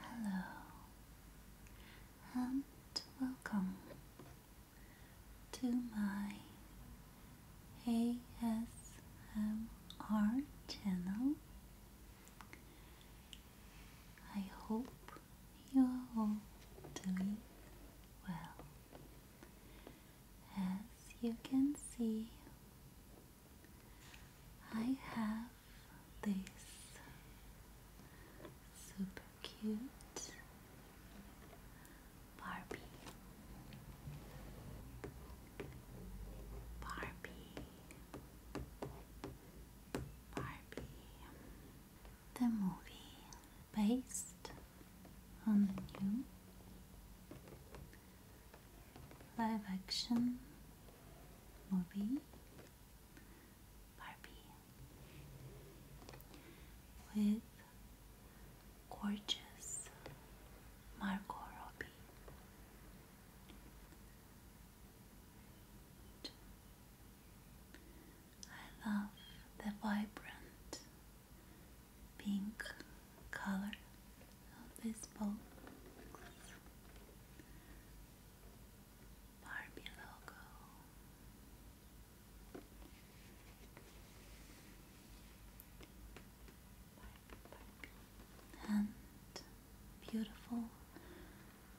Hello, hello, and welcome to my ASMR channel. I hope you're all doing well. As you can see, I have this super cute Barbie Barbie, Barbie, the movie based on the new live action movie Barbie with gorgeous Marco Robbie. I love the vibrant pink color of this bow Barbie logo and beautiful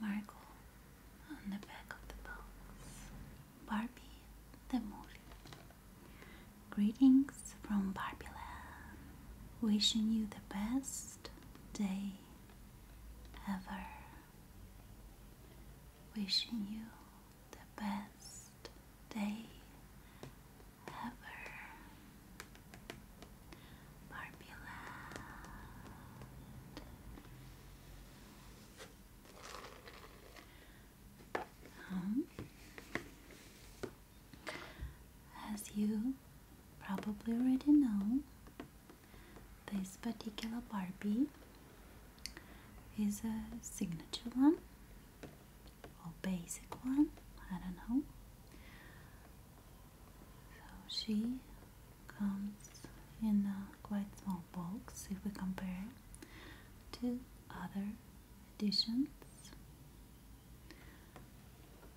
marble on the back of the box. Barbie the movie. Greetings from Barbieland. Wishing you the best day ever. Wishing you the best day Ever Barbie um, as you probably already know, this particular Barbie is a signature one or basic one, I don't know. So she comes in a quite small box if we compare to other editions,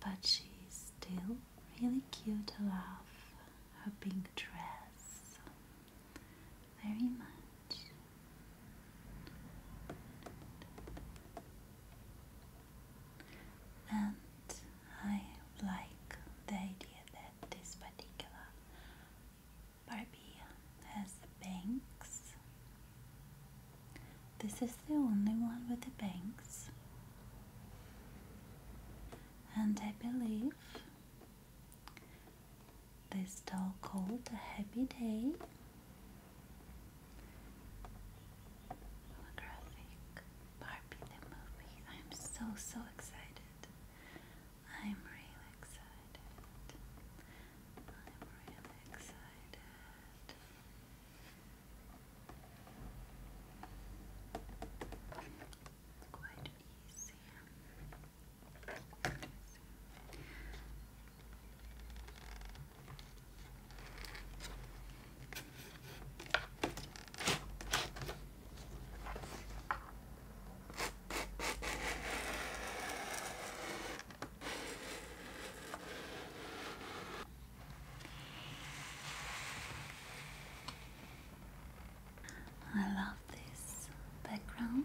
but she's still really cute. I love her pink dress very much. And I like the idea that this particular Barbie has banks. This is the only one with the banks. And I believe this doll called A Happy Day. Holographic Barbie the movie. I'm so so excited. I'm really excited. I'm really excited. It's quite easy. I love this background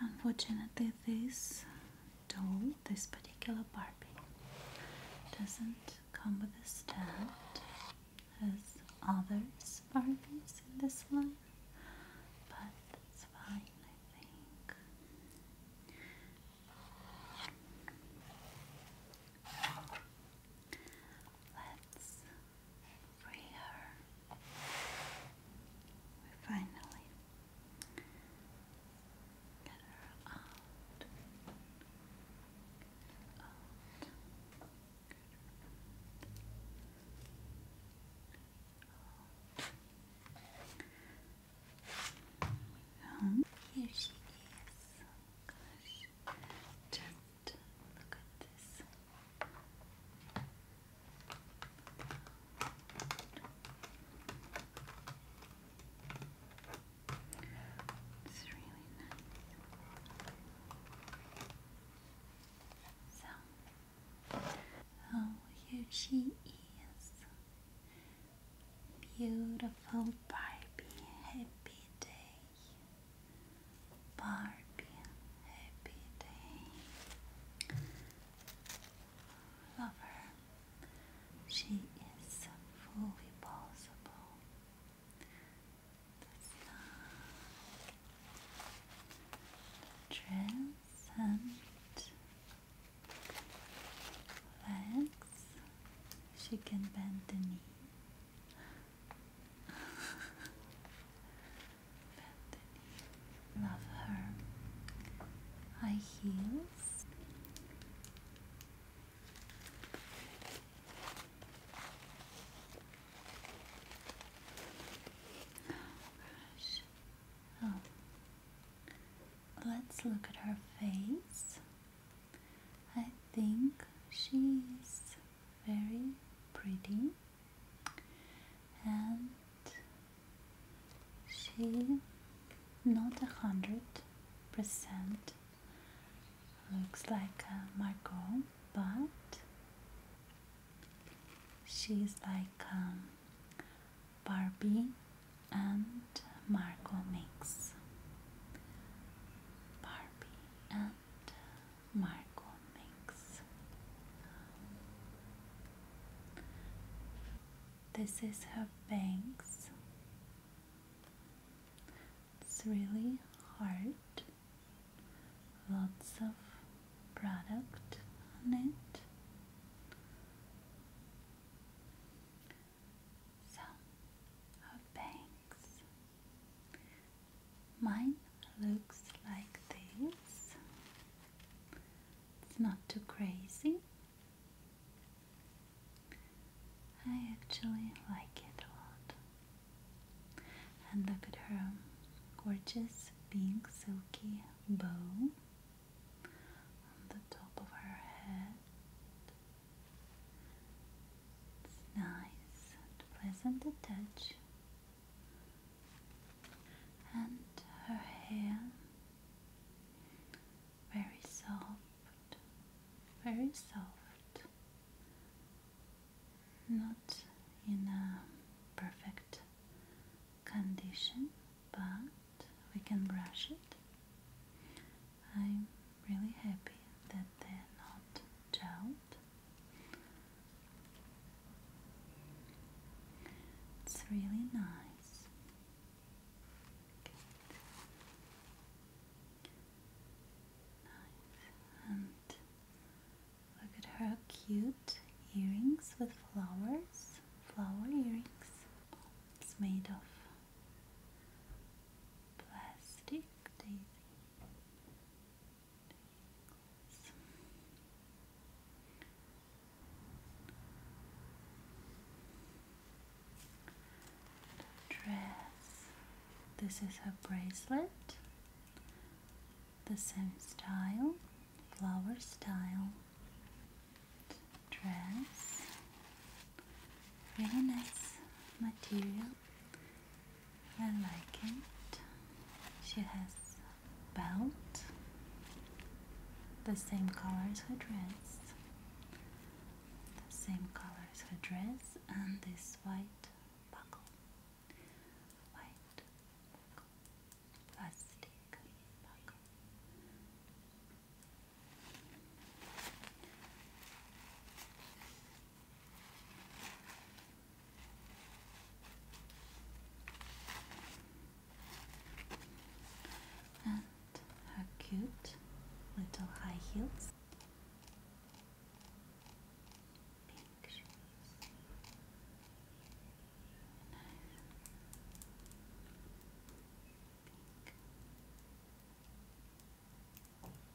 Unfortunately, this doll, this particular Barbie, doesn't come with a stand as other Barbies in this line, but that's fine, I think. Let's free her. finally here she is. Gosh. Just look at this. So, oh, here she is. Beautiful Barbie, happy day. Barbie, happy day lover. She is fully possible. The sun, the legs. She can bend the knee. Love her. High heels. Oh, gosh. Oh. Let's look at her face. I think she's very pretty and she not a hundred percent looks like a Margot but she's like um, Barbie and Marco mix Barbie and Marco Minx. this is her bangs. It's really hard. Lots of product on it. So, her bangs. Mine looks like this. It's not too crazy. I actually like it a lot. And look at her gorgeous pink silky bow on the top of her head. It's nice pleasant to touch and her hair very soft, very soft, not in a perfect condition, but we can brush it. I'm really happy that they're not gelled it's really nice. Nice. look at her cute earrings with flowers. Flower earrings. It's made of plastic daisy dress. This is her bracelet. The same style, flower style dress. Very nice material. I like it. She has belt, the same color as her dress, the same color her dress, and this white buckle, white buckle, plastic buckle. And her cute little high heels. Pink shoes. Pink.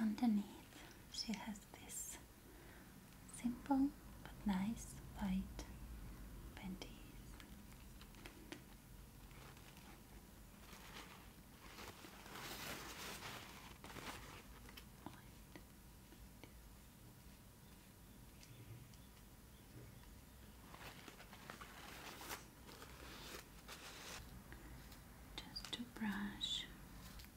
And underneath, she has this Simple but nice white panties. Just to brush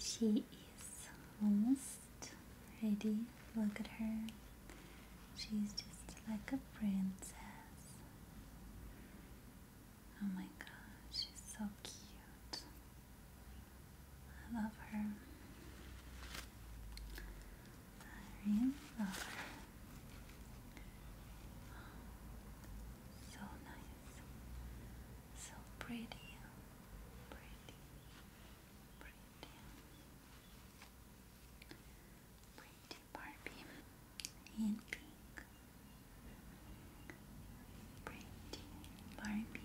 She is almost just ready. Look at her. She's just like a princess. Oh my god, she's so cute. I love her. I really love her. So nice. So pretty. Pretty. Pretty. Pretty Barbie in pink. Pretty Barbie pink.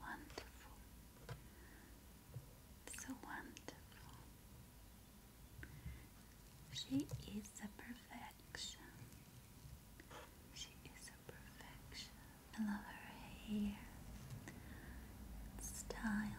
Wonderful. So wonderful. She is a perfection. She is a perfection. I love her hair. Style.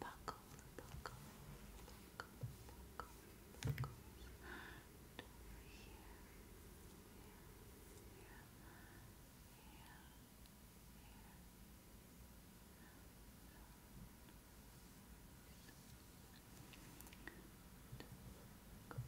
buckles, buckles, buckles, buckles, buckles. And over here, here, here, here, Good.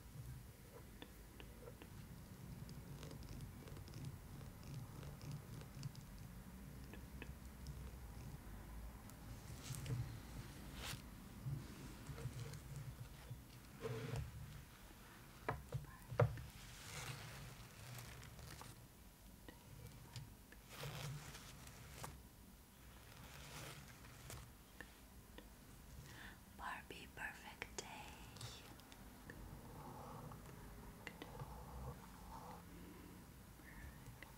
Barbie perfect day. Perfect. Perfect.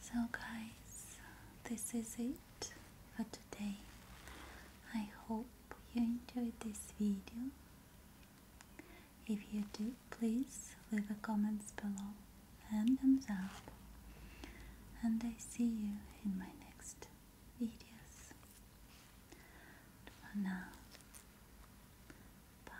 So, guys, this is it for today. I hope you enjoyed this video. If you do, please leave a comment below and thumbs up. And I see you in my next videos. For now, bye.